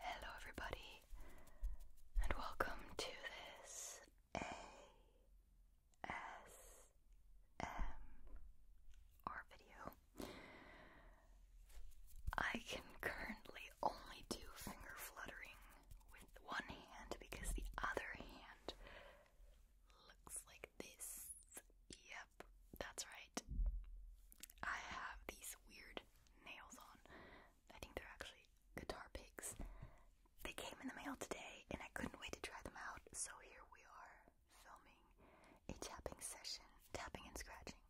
Hello, everybody, and welcome to this ASMR video. I can currently only do finger fluttering with one hand because the other hand looks like this. Yep, that's right. I have these weird nails on I think they're actually guitar picks. They came in the mail today and I couldn't wait to try them out, so here we are filming a tapping session, tapping and scratching,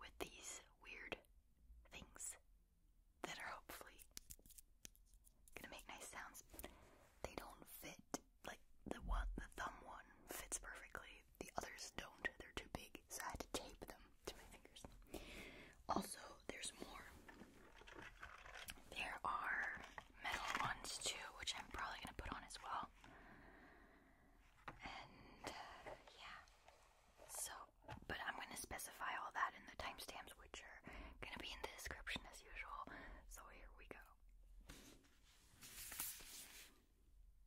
with these weird things that are hopefully gonna make nice sounds. They don't fit, like the one the thumb one fits perfectly, the others don't, they're too big, so I had to tape them to my fingers. Also, there's more. There are metal ones too, which I'm probably gonna put on as well. And uh, yeah, so but I'm gonna specify all that in the timestamps, which are gonna be in the description as usual. So here we go.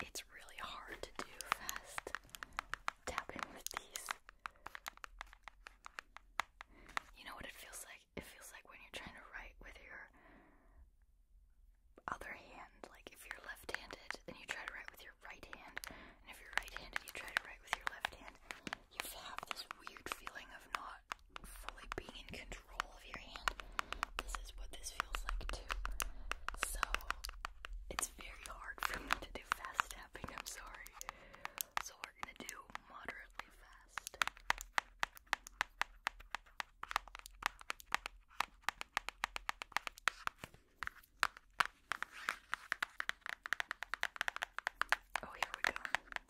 It's really hard to do fast tapping with these. You know what it feels like? It feels like when you're trying to write with your other hand. Like if you're left handed and you try to write with your right hand, and if you're right handed, and you try to write with your left hand. You have this weird feeling of not fully being in control of your hand. This is what this feels like too. So it's very hard for me to do fast tapping, I'm sorry. So we're gonna do moderately fast. Oh, here we go.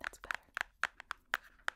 That's better.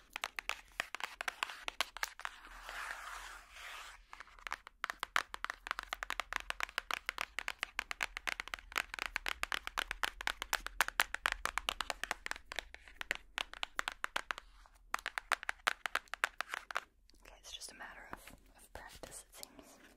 Okay, it's just a matter of, of practice, it seems. Okay.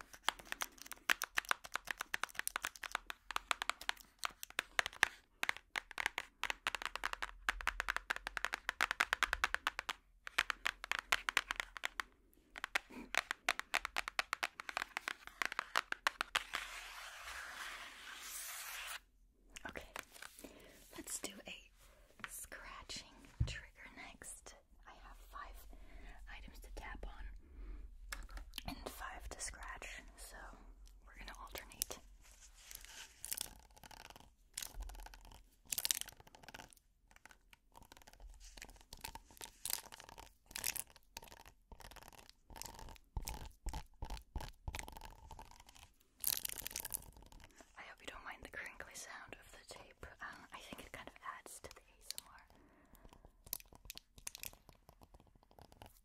Okay, let's do a scratching trigger next. I have five items to tap on and five to scratch, so we're gonna alternate. I hope you don't mind the crinkly sound of the tape. Uh, I think it kind of adds to the ASMR.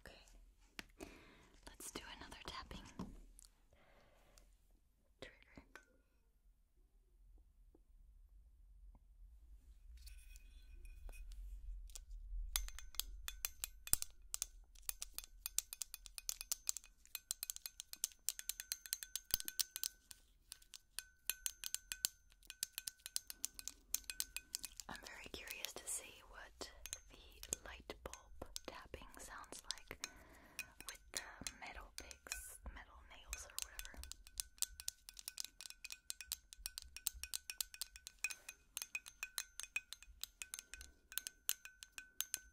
Okay, let's do another tapping trigger. I'm very curious to see what the light bulb tapping sounds like with the metal picks, metal nails, or whatever.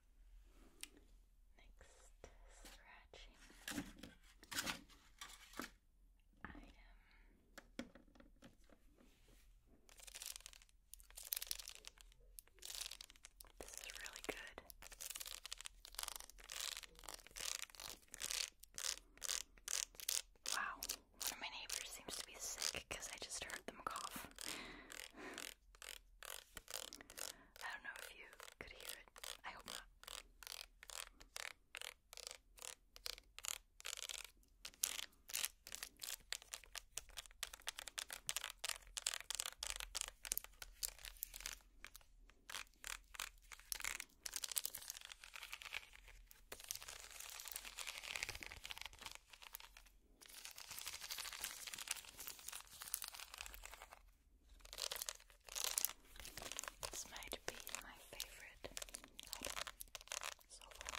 Next scratching item. This is really good. Wow, one of my neighbors seems to be sick because I just heard them cough. I don't know if you could hear it. I hope not. This might be my favorite item so far.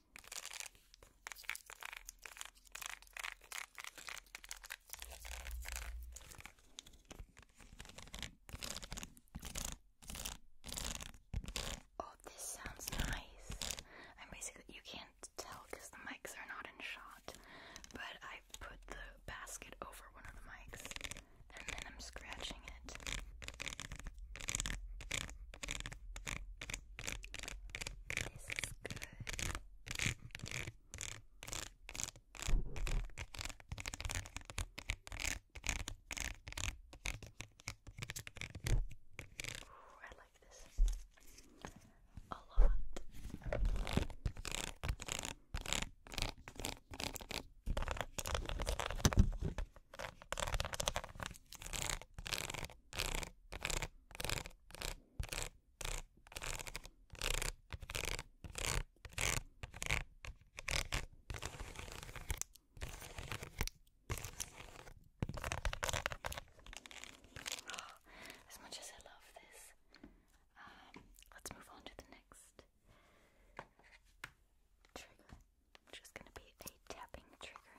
Oh, this sounds nice. I'm basically, you can't tell because the mics are not in shot, but I put the basket over one of the mics and then I'm scratching it. This is good. Ooh, I like this a lot. As much as I love this, um, let's move on to the next trigger, which is going to be a tapping trigger.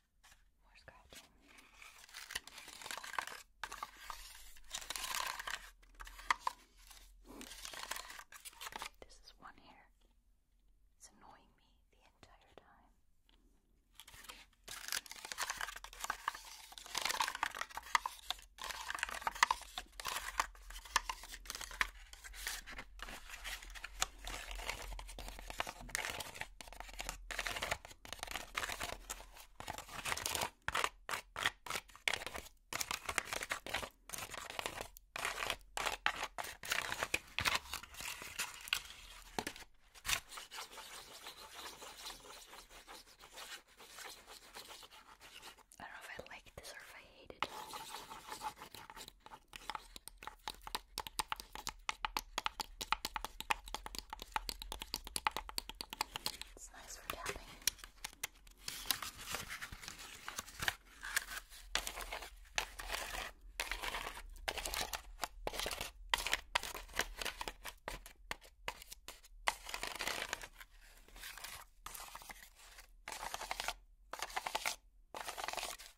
More scratching. This is one hair. It's annoying me the entire time. I don't know if I like this or if I hate it. It's nice for tapping.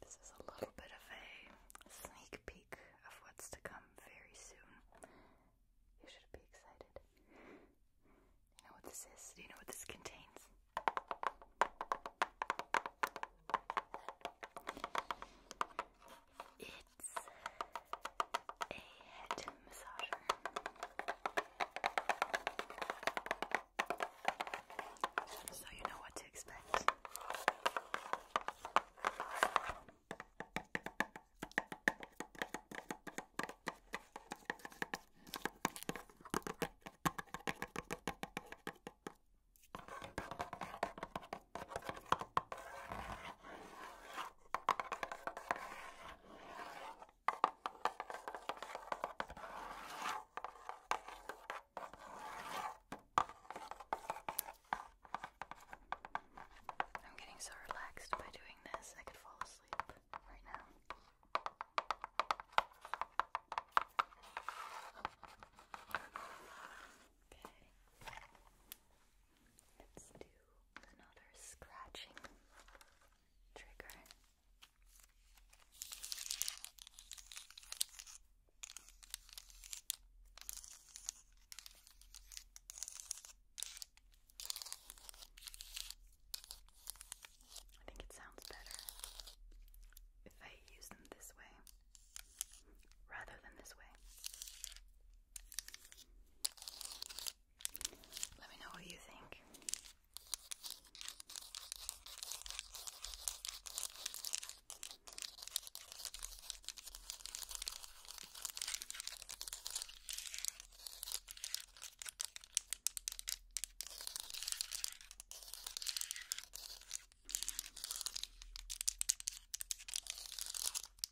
This is a little bit of a sneak peek of what's to come very soon. You should be excited. You know what this is? Do you know what this contains? It's a head massager. So you know what to expect. I'm getting so relaxed by doing this, I could fall asleep right now. Okay. Let's do another scratching trigger. I think it sounds better if I use them this way rather than this way. Let me know what you think.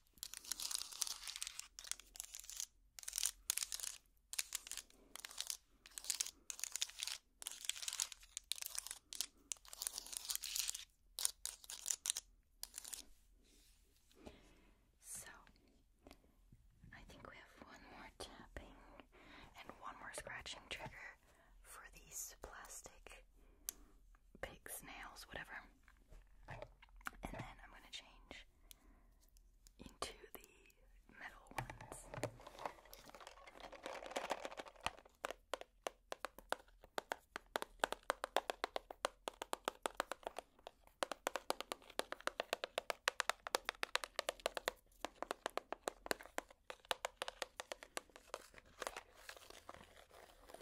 So, I think we have one more tapping and one more scratching trigger for these plastic pig snails, whatever and then I'm going to change into the metal ones.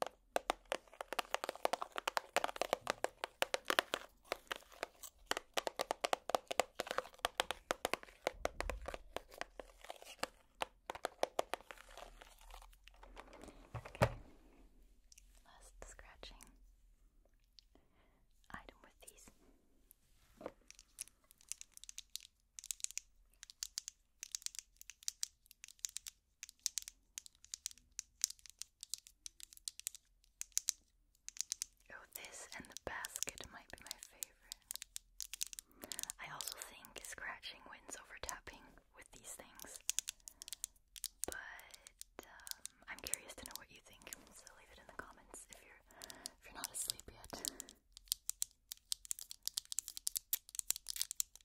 Okay. Last scratching item with these. Oh, this and the basket might be my favorite. I also think scratching wins over tapping with these things. But um, I'm curious to know what you think, so leave it in the comments if you're if you're not asleep yet.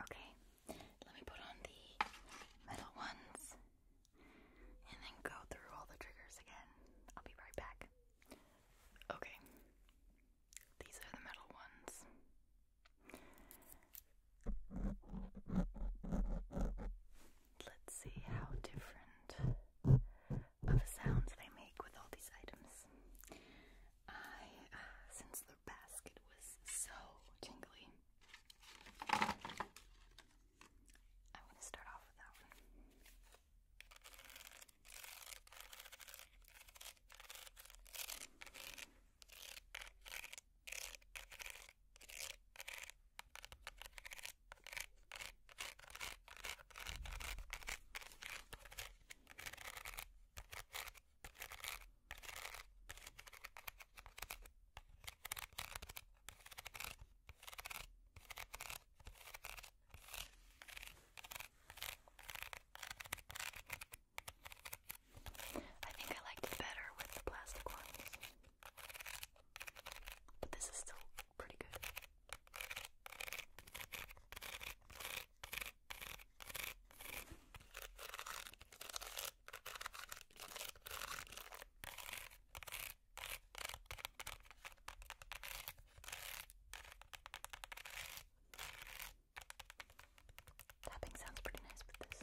Okay, let me put on the metal ones and then go through all the triggers again. I'll be right back. Okay, these are the metal ones. Let's see how different of the sounds they make with all these items. I, uh, since the basket was so tingly, I'm to start off with that one. I think I liked it better with the plastic ones, but this is still pretty good. Tapping sounds pretty nice with this.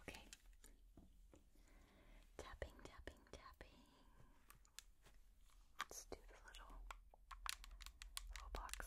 Okay. Tapping, tapping, tapping. Let's do the little little box.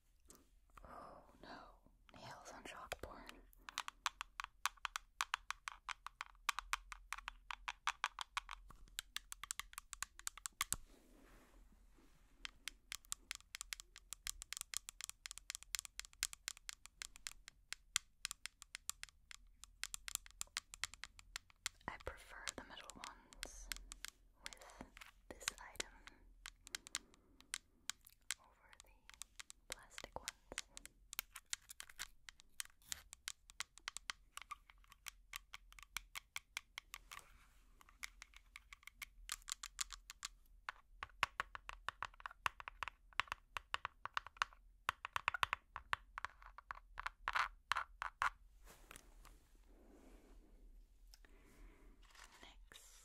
Oh no, nails on chalkboard. I prefer the middle ones with this item over the plastic ones. Next,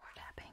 Or tapping.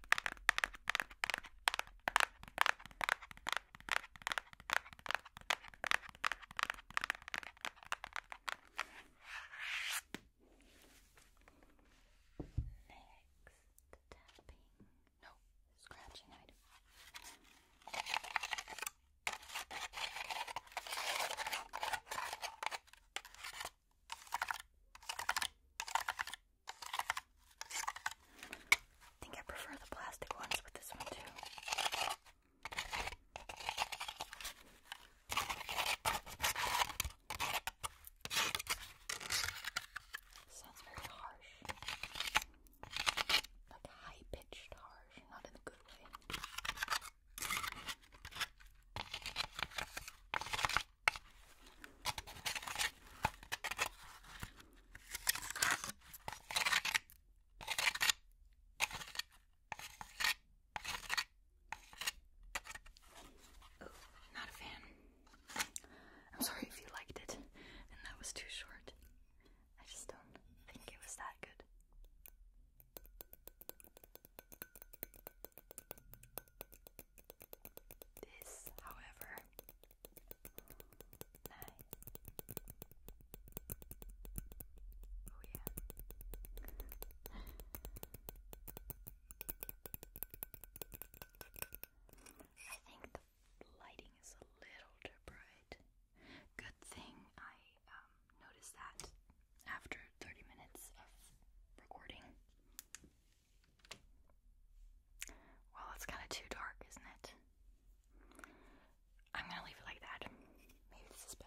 Next, tapping. No, scratching item. I think I prefer the plastic ones with this one too. Sounds very harsh. Like high pitched harsh, not in a good way. Oh, not a fan. I'm sorry if you liked it and that was too short. I just don't think it was that good. This, however, Oh yeah. I think the lighting is a little too bright. Good thing I um, noticed that after 30 minutes of recording. Well, it's kind of too dark, isn't it? I'm gonna leave it like that. Maybe this is better.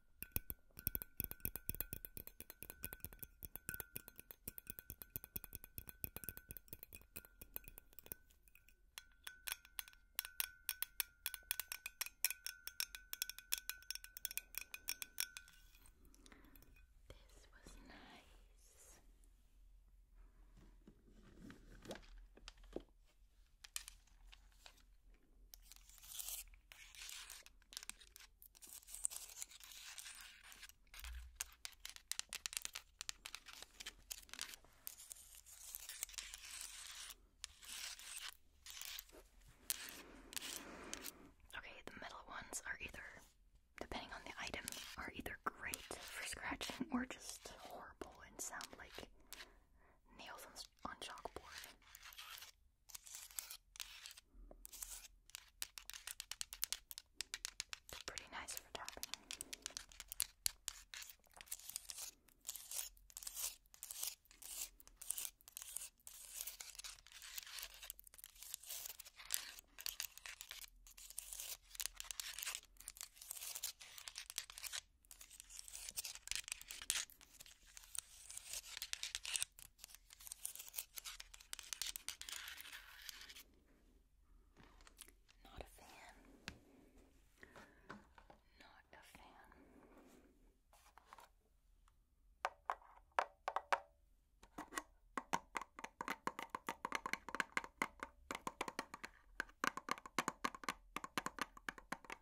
This was nice. Okay, the metal ones are either, depending on the item, are either great for scratching or just horrible and sound like nails on on chalkboard. It's pretty nice for tapping. Not a fan. Not a fan.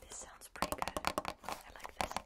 This sounds pretty good. I like this.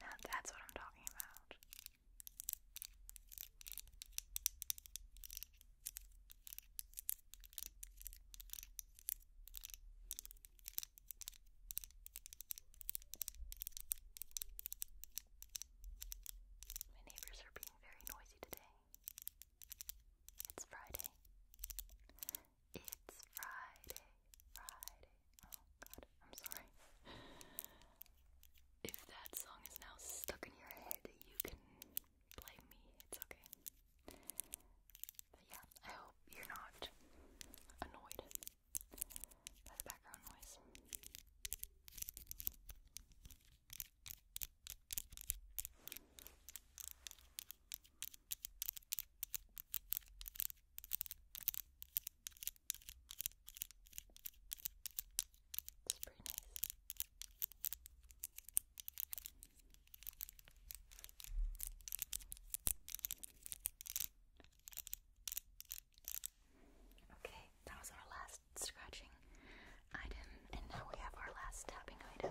Now that's what I'm talking about. My neighbors are being very noisy today. It's Friday. It's Friday. Friday. Oh god, I'm sorry. If that song is now stuck in your head, you can blame me. It's okay. But yeah, I hope you're not annoyed by the background noise. It's pretty nice. Okay, that was our last scratching item, and now we have our last tapping item.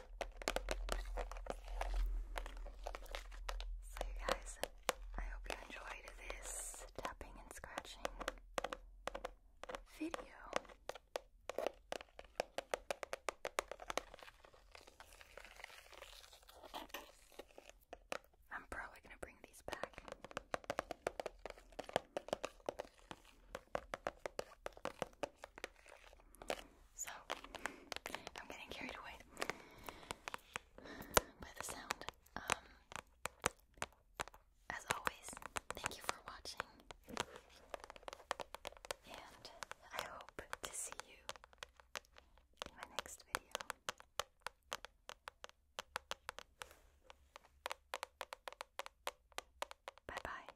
So, you guys, I hope you enjoyed this tapping and scratching video. I'm probably going to bring these back. So I'm getting carried away by the sound. Um, as always, thank you for watching, and I hope to see you in my next video. Bye bye.